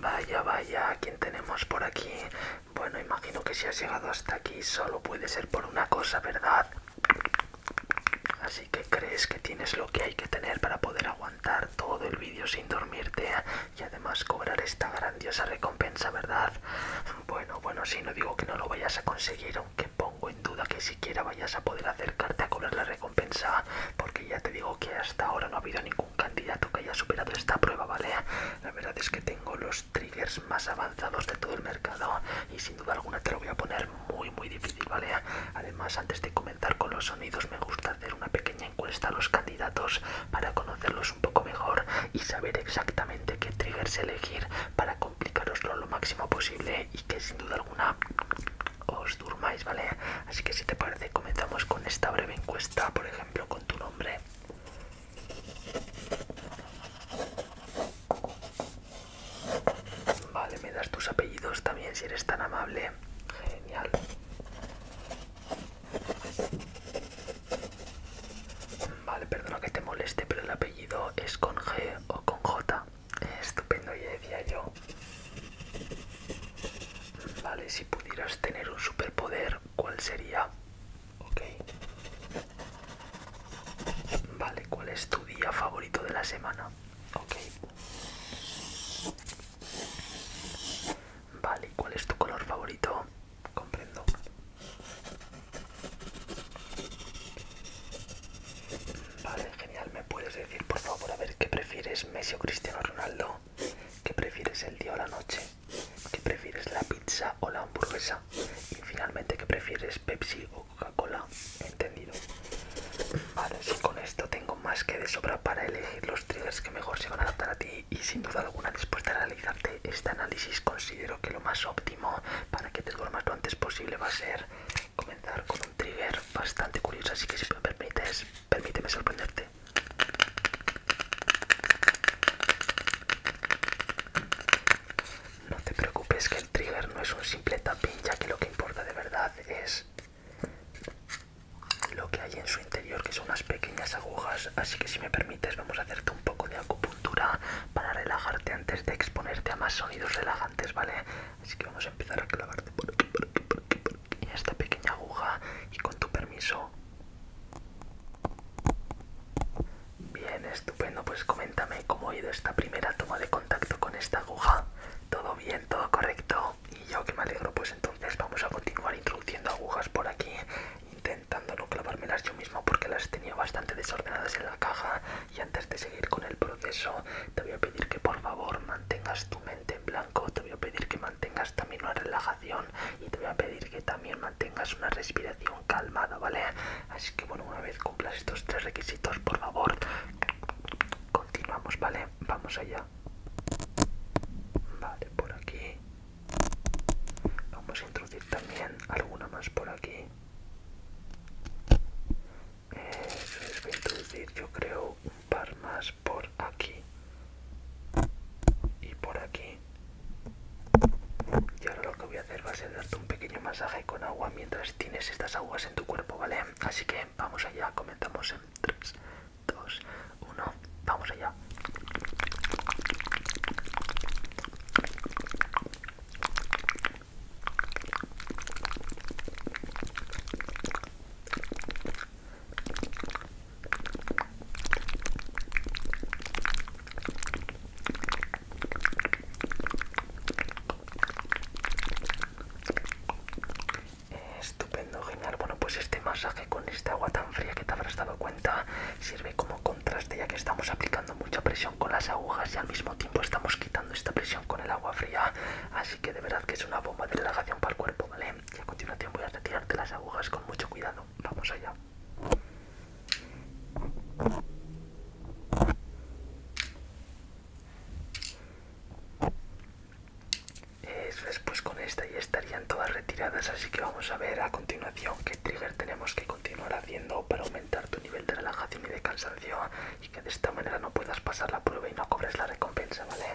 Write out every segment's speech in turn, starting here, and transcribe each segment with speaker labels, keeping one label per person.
Speaker 1: Vaya, vaya, quién tenemos por aquí? Bueno, imagino que si has llegado hasta aquí solo puede ser por una cosa, ¿verdad? Así que crees que tienes lo que hay que tener para poder aguantar todo el vídeo sin dormirte y además cobrar esta grandiosa recompensa, ¿verdad? Bueno, bueno, si no digo que no lo vayas a conseguir, aunque pongo en duda que siquiera vayas a poder acercarte a cobrar la recompensa recompensa porque ya te digo que hasta ahora no ha habido ningún candidato que haya superado esta prueba, ¿vale? La verdad es que tengo los triggers más avanzados de todo el mercado y sin duda alguna te lo voy a poner muy muy difícil, ¿vale? Además, antes de comenzar con los sonidos, me gusta hacer una pequeña encuesta a los candidatos para conocerlos un poco mejor y saber exactamente qué triggers elegir para complicaroslo lo máximo posible y que sin duda alguna os durmáis, ¿vale? Así que si te parece comenzamos con esta breve encuesta, por ejemplo, con tu nombre. Vale, me das tus apellidos también si eres tan amable. Genial. Vale, perdona que te moleste, pero el apellido es con G o con J. Estupendo, ya decía yo. Vale, si pudieras tener un superpoder, ¿cuál sería? Ok. Vale, ¿cuál es tu día favorito de la semana? Ok. Vale, ¿cuál es tu color favorito? Comprendo. Vale, genial. ¿Me puedes decir, por favor, a ver qué prefieres, Messi o Cristiano Ronaldo? ¿Qué prefieres el día o la noche? ¿Qué prefieres la pizza o la hamburguesa? Y finalmente, ¿qué prefieres Pepsi o Coca-Cola? Entendido. Vale, si con esto tengo más que de sobra para elegir los triggers que mejor se van a adaptar a ti y sin duda alguna dispuesta a realizarte este análisis considero que lo más óptimo para que te duermas lo antes posible va a ser comenzar con un trigger bastante curioso, así que si me permites, permíteme sorprenderte. No te preocupes que el trigger no es un simple tapín ya que lo que importa de verdad es lo que hay en su interior, que son unas pequeñas agujas, así que si me permites vamos a hacerte un poco de acupuntura para relajarte antes de exponerte a más sonidos relajantes, ¿vale? Así que vamos a empezar a clavarte por aquí, por aquí, por aquí, y esta pequeña aguja y con tu permiso. Bien, estupendo. Pues coméntame cómo ha ido esta primera toma de contacto con esta aguja. Todo bien, todo correcto. Y yo que me alegro, pues entonces vamos a continuar introduciendo agujas por aquí, intentando no clavármelas yo mismo porque las tenía bastante desordenadas en la caja. Y antes de seguir con el proceso, te voy a pedir que por favor mantengas tu mente en blanco. Te voy a pedir que mantengas también una relajación y te voy a pedir que también mantengas una respiración calmada, ¿vale? Así que bueno, una vez cumplas estos tres requisitos, por favor, continuamos, ¿vale? Vamos allá. Vale, por aquí. Vamos a introducir también alguna más por aquí les voy a introducir yo creo un par más por aquí y por aquí y ahora lo que voy a hacer va a ser darte un pequeño masaje con agua mientras tienes estas aguas en tu cuerpo vale así que vamos allá Comentamos en 3 2 1 vamos allá Estupendo, genial. Bueno, pues este masaje con esta agua tan fría que te habrás dado cuenta sirve como contraste ya que estamos aplicando mucha presión con las agujas y al mismo tiempo estamos quitando esta presión con el agua fría. Así que de verdad que es una bomba de relajación para el cuerpo, ¿vale? Y a continuación voy a retirarte las agujas con mucho cuidado. Vamos allá. Eso es, pues con esta ya estarían todas retiradas, así que vamos a ver a continuación qué trigger tenemos que continuar haciendo para aumentar tu nivel de relajación y de cansancio y que de esta manera no puedas pasar la prueba y no cobres la recompensa, ¿vale?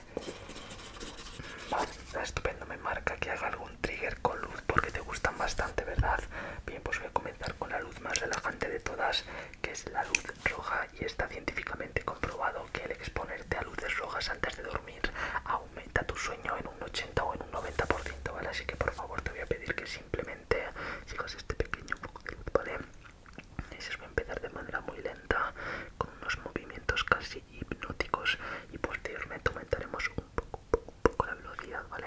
Speaker 1: Está ah, estupendo, me marca que haga algún trigger con luz porque te gustan bastante, ¿verdad? Bien, pues voy a comenzar con la luz más relajante de todas, que es la luz roja y está científicamente comprobado que al exponerte a luces rojas antes de dormir aumenta tu sueño en un 80 o en un 90%, ¿vale? Así que por favor te voy a pedir que simplemente sigas este pequeño poco de luz, ¿vale? Voy va a empezar de manera muy lenta, con unos movimientos casi hipnóticos, y posteriormente aumentaremos un poco, poco, poco la velocidad, ¿vale?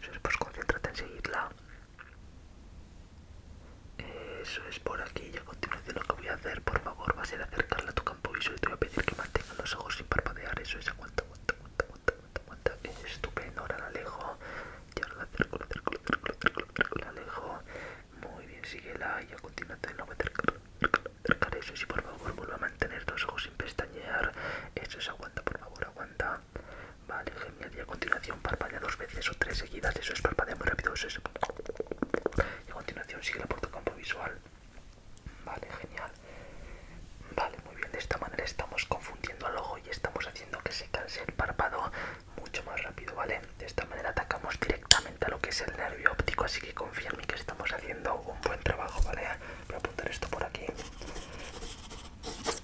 Speaker 1: Eso es, pues concéntrate en seguirla. Eso es por aquí, y a continuación lo que voy a hacer, por favor, va a ser acercarla a tu campo visual y te voy a pedir que mantengas los ojos sin parpadear, eso es, aguanta, aguanta, aguanta, aguanta, aguanta, Es estupendo, ahora la alejo, y ahora la acerco, la acerco, la acerco, la acerco, la acerco, la alejo. Muy bien, sigue la y a continuación la voy a Eso sí, por favor, vuelva a mantener los ojos sin pestañear. Eso es, aguanta, por favor, aguanta. Vale, genial. Y a continuación parpadea dos veces o tres seguidas. Eso es, parpadea muy rápido. Eso es. Y a continuación sigue por tu campo visual. Vale, genial. Vale, muy bien. De esta manera estamos confundiendo al ojo y estamos haciendo que se canse el párpado mucho más rápido, ¿vale? De esta manera atacamos directamente a lo que es el nervio óptico, así que confía en que estamos haciendo un buen trabajo, ¿vale? Voy a apuntar esto por aquí.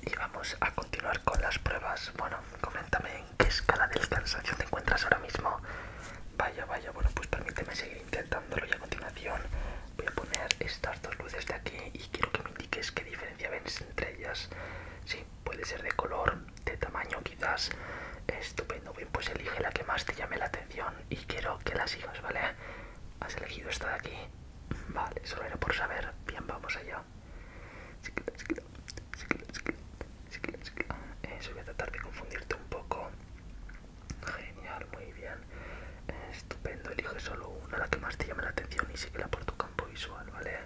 Speaker 1: Y vamos a continuar con las pruebas. Bueno, coméntame en qué escala de descansación te encuentras ahora mismo. Vaya, vaya, bueno, pues permíteme seguir intentándolo y a continuación voy a poner estas dos luces de aquí y quiero que me indiques qué diferencia ves entre ellas puede ser de color, de tamaño quizás. Estupendo, bien, pues elige la que más te llame la atención y quiero que la sigas, ¿vale? Has elegido esta de aquí. Vale, solo era por saber. Bien, vamos allá. Eso voy a tratar de confundirte un poco. Genial, muy bien. Estupendo, elige solo una, la que más te llame la atención y síguela por tu campo visual, ¿vale?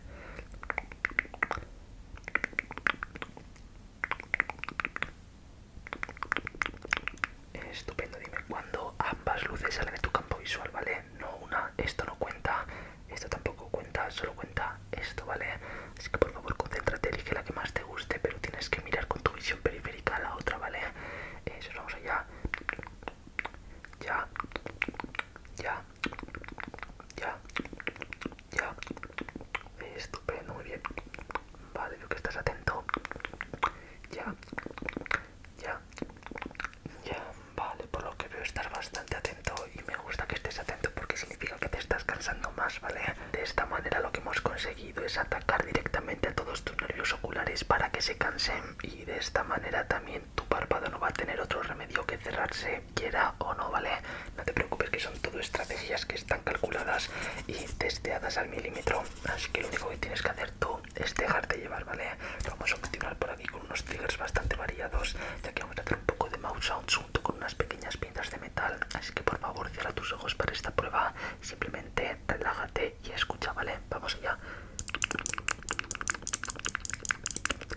Speaker 1: Estupendo, dime cuando ambas luces salen de tu campo visual, ¿vale? No una, esto no cuenta, esto tampoco cuenta, solo cuenta esto, ¿vale? Así que por favor concéntrate, elige la que más te guste, pero tienes que mirar con tu visión periférica a la otra, ¿vale? Eso, vamos allá. Ya, ya, ya, ya. Estupendo, muy bien. Vale, veo que estás atento. Ya, ya, ya. Vale, por lo que veo estar bastante atento y me gusta que estés atento porque significa que te estás cansando más, ¿vale? De esta manera lo que hemos conseguido es atacar directamente a todos tus nervios oculares para que se cansen y de esta manera también tu párpado no va a tener otro remedio que cerrarse quiera o no, ¿vale? No te preocupes que son todo estrategias que están calculadas y testeadas al milímetro. Así que lo único que tienes que hacer tú es dejarte llevar, ¿vale? Vamos a continuar por aquí con unos triggers bastante variados, ya que vamos a hacer un poco de mouse sound junto con unas pequeñas pintas de metal. Así que por favor cierra tus ojos para esta prueba. Simplemente relájate y escucha, ¿vale? Vamos allá.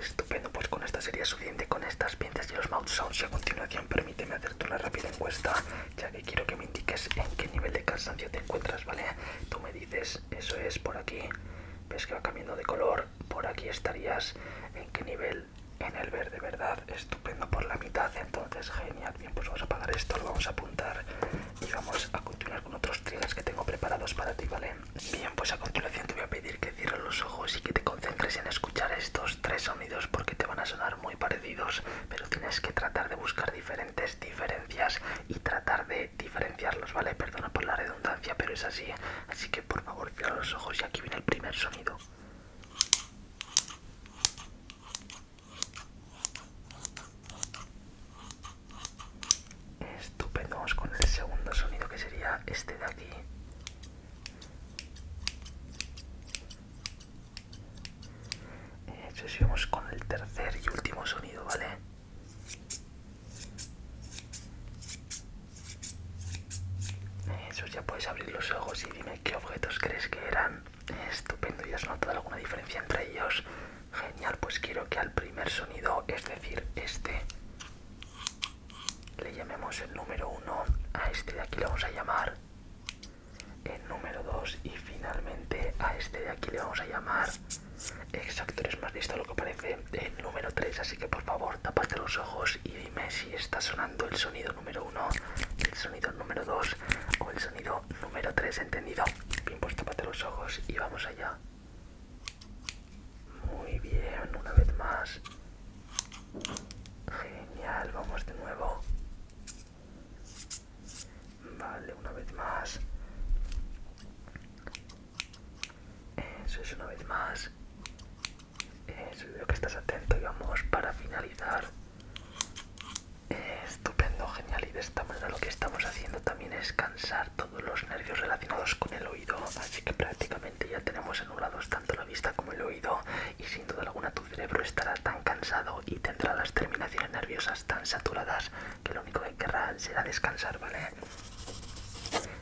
Speaker 1: Estupendo, pues con esta sería suficiente con estas pinzas y los mouth sounds y a continuación permíteme hacerte una rápida encuesta ya que quiero que me indiques en qué nivel de cansancio te encuentras, ¿vale? Tú me dices, eso es por aquí, ves que va cambiando de color, por aquí estarías, ¿en qué nivel? En el verde, ¿verdad? Estupendo por la mitad, entonces genial. Bien, pues vamos a apagar esto, lo vamos a apuntar y vamos a continuar con otros triggers que tengo preparados para ti, ¿vale? Bien, pues a continuación te voy a pedir que cierres los ojos y que te concentres en escuchar estos tres sonidos porque te van a sonar muy parecidos, pero tienes que tratar de buscar diferentes diferencias y tratar de diferenciarlos, ¿vale? Perdona por la redundancia, pero es así. Así que por favor cierra los ojos y aquí viene el primer sonido. Estupendo, vamos con el segundo sonido que sería este de aquí. Eso sí, vamos con el tercer y último sonido, ¿vale? Eso ya puedes abrir los ojos y dime qué objetos crees que eran. Estupendo, ¿ya has notado alguna diferencia entre ellos? Genial, pues quiero que al primer sonido, es decir, este, le llamemos el número 1, a este de aquí le vamos a llamar el número 2 y finalmente a este de aquí le vamos a llamar, exacto, eres más listo lo que parece, el número 3, así que por favor tapate los ojos y dime si está sonando el sonido número 1, el sonido número 2 o el sonido número 3, ¿entendido? Bien puesto para los ojos y vamos allá. Muy bien, una vez más. Genial, vamos de nuevo. Vale, una vez más. Eso es una vez más. Eso veo que estás atento y vamos para finalizar. Estupendo, genial. Y de esta manera lo que estamos haciendo también es cansar todos los nervios relacionados con el oído. Así que prácticamente ya tenemos anulados tanto la vista como el oído. Y sin duda alguna tu cerebro estará tan cansado y tendrá las terminaciones nerviosas tan saturadas que lo único que querrá será descansar, ¿vale?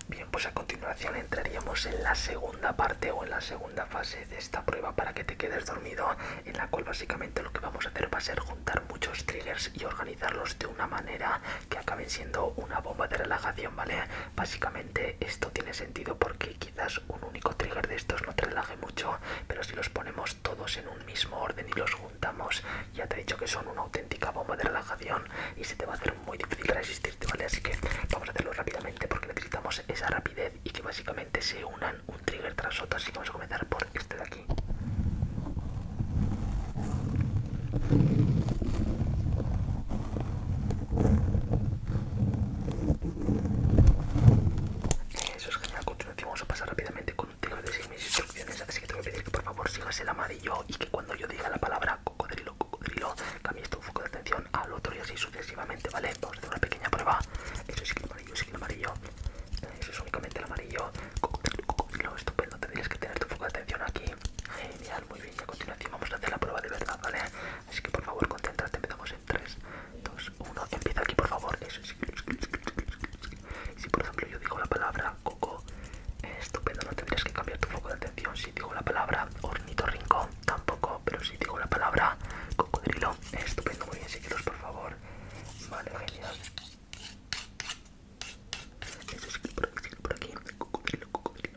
Speaker 1: Bien, pues a continuación entraríamos en la segunda parte o en la segunda fase de esta prueba para que te quedes dormido en la cual básicamente lo que vamos a hacer va a ser juntar muchos triggers y organizarlos de una manera que acaben siendo una bomba de relajación, ¿vale? Básicamente esto tiene sentido porque quizás un único trigger de estos no te relaje mucho, pero si los ponemos todos en un mismo orden y los juntamos, ya te he dicho que son una auténtica bomba de relajación y se te va a hacer muy difícil resistirte, ¿vale? Así que vamos a hacerlo rápidamente porque necesitamos esa rapidez y que básicamente se una un trigger tras otro, así que vamos a comenzar por este de aquí. Eso es genial, continuación vamos a pasar rápidamente con un trigger de seguir mis instrucciones, así que te voy a pedir que por favor sigas el amarillo y que cuando yo diga la palabra cocodrilo, cocodrilo, cambies tu foco de atención al otro y así sucesivamente, ¿vale? Vamos a hacer una pequeña prueba. Eso es que amarillo, el amarillo eso es únicamente el amarillo. cocodrilo, estupendo, tendrías que tener tu foco de atención aquí. Genial, muy bien. Y a continuación vamos a hacer la prueba de verdad, ¿vale? Así que por favor, concéntrate. Empezamos en 3, 2, 1. Empieza aquí, por favor. Eso Si por ejemplo yo digo la palabra coco, estupendo, no tendrías que cambiar tu foco de atención. Si digo la palabra ornitorrinco, tampoco. Pero si digo la palabra cocodrilo, estupendo, muy bien. Seguidos, por favor. Vale, genial. Eso por aquí, por aquí. Cocodrilo, cocodrilo.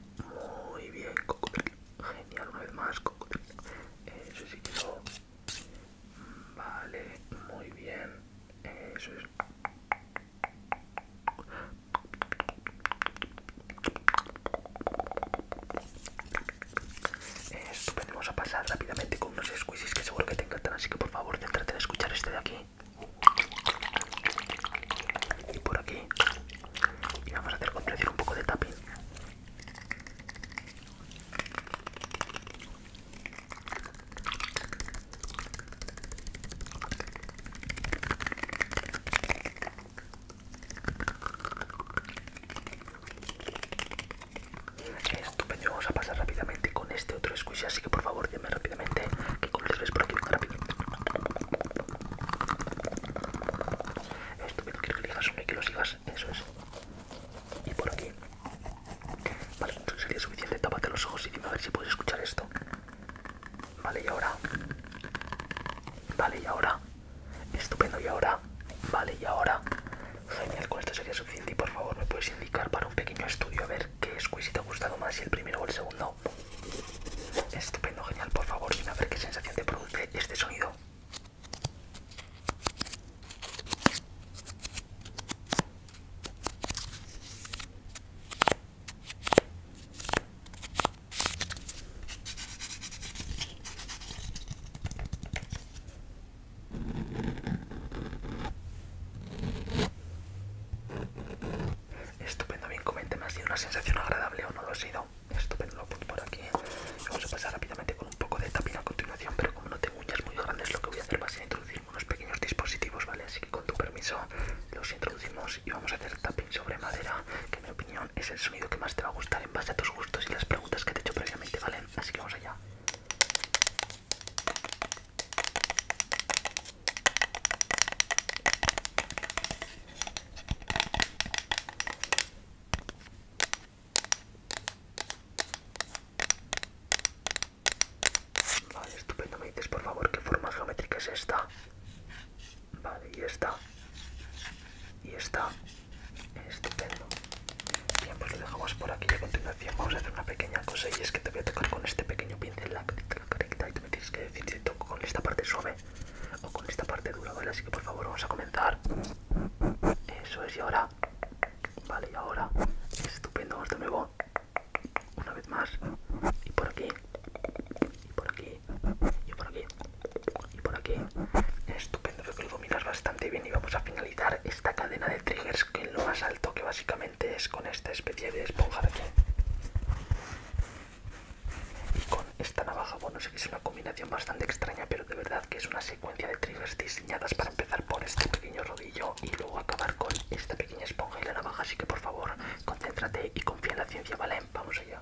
Speaker 1: Muy bien, cocodrilo. Genial, una vez más, cocodrilo. Eso sí que Vale, muy bien. Eso es... Estupendo, pues, vamos a pasar rápidamente unos squeezes que seguro que te encantan, así que por favor, trate de escuchar este de aquí. Y por aquí. Y vamos a hacer con un poco de tapping. Estupendo, vamos a pasar rápidamente con este otro squishy, así que por favor dime rápidamente qué colores es por aquí, rápido. Estupendo, quiero que digas uno y que lo sigas, eso es. Y por aquí. Vale, sería suficiente, tápate los ojos y dime a ver si puedes escuchar esto. Vale, y ahora. Vale, y ahora. Estupendo, y ahora. Vale, y ahora. Genial, con esto sería suficiente y por favor me puedes indicar para un pequeño estudio a ver qué squeeze te ha gustado más, si el primero o el segundo. Estupendo, genial, por favor, dime a ver qué sensación te produce este sonido. Estupendo, bien, coménteme, ¿ha sido una sensación agradable o no lo ha sido? Estupendo, lo pongo por aquí. Vamos a pasar rápidamente con un poco de tapping a continuación, pero como no tengo uñas muy grandes, lo que voy a hacer va a ser introducir unos pequeños dispositivos, ¿vale? Así que con tu permiso los introducimos y vamos a hacer tapping sobre madera, que en mi opinión es el sonido que más te va a gustar en base a tus gustos y las preguntas que te he hecho previamente, ¿vale? Así que vamos allá. Vale, estupendo. Me dices, por favor, qué forma geométrica es esta. Vale, y esta. Y esta. Estupendo. Bien, pues lo dejamos por aquí y a continuación vamos a hacer una pequeña cosa y es que te voy a tocar con este pequeño pincel la carita y tú me tienes que decir si toco con esta parte suave o con esta parte dura, ¿vale? Así que por favor vamos a comenzar. Eso es, y ahora... Vale, y ahora... Estupendo, vamos de nuevo. Una vez más. Y por aquí. Y por aquí. Y por aquí. Y por aquí. Estupendo, creo que lo dominas bastante bien y vamos a finalizar esta cadena de triggers que lo más alto que básicamente es con esta especie de esponja de aquí y con esta navaja bueno sé que es una combinación bastante extraña pero de verdad que es una secuencia de triggers diseñadas para empezar por este pequeño rodillo y luego acabar con esta pequeña esponja y la navaja así que por favor concéntrate y confía en la ciencia vale vamos allá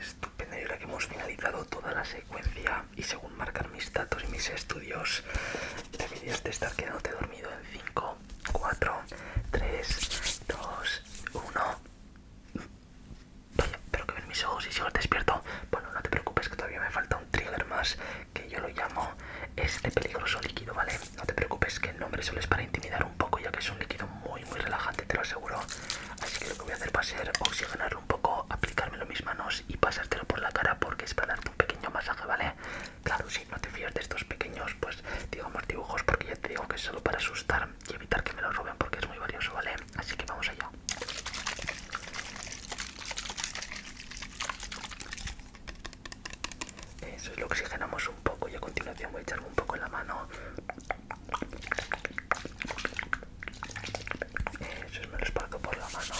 Speaker 1: Estupendo, y ahora que hemos finalizado toda la secuencia y según marcar mis datos y mis estudios, deberías de estar quedándote dormido en 5, 4, 3, 2, 1. Pero que ven mis ojos y sigo despierto. Bueno, no te preocupes que todavía me falta un trigger más que yo lo llamo este peligroso líquido, ¿vale? No te preocupes que el nombre solo es para intimidar un poco ya que es un líquido muy muy relajante, te lo aseguro. Así que lo que voy a hacer va a ser oxigenarlo un poco, aplicármelo en mis manos y pasártelo por la cara porque es para darte un pequeño masaje, ¿vale? Claro, si no te fías de estos pequeños, pues digamos dibujos porque ya te digo que es solo para asustar y evitar que me lo roben porque es muy valioso, ¿vale? Así que vamos allá. Eso es lo oxigenamos un poco y a continuación voy a echarme un poco en la mano. Eso es, me lo por la mano.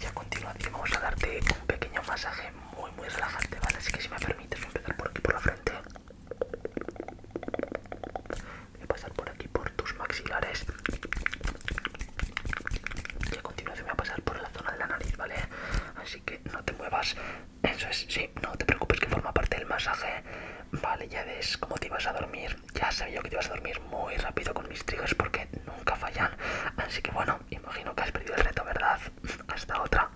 Speaker 1: Y a continuación vamos a darte un pequeño masaje muy muy relajante, ¿vale? Así que si me permites voy a empezar por aquí por la frente. Voy a pasar por aquí por tus maxilares. Y a continuación voy a pasar por la zona de la nariz, ¿vale? Así que no te muevas. Eso es, sí, no te preocupes que forma parte del masaje. Vale, ya ves cómo te ibas a dormir. Ya sabía yo que te ibas a dormir muy rápido con mis triggers porque nunca fallan. Así que bueno, imagino que has perdido el reto, ¿verdad? Hasta otra.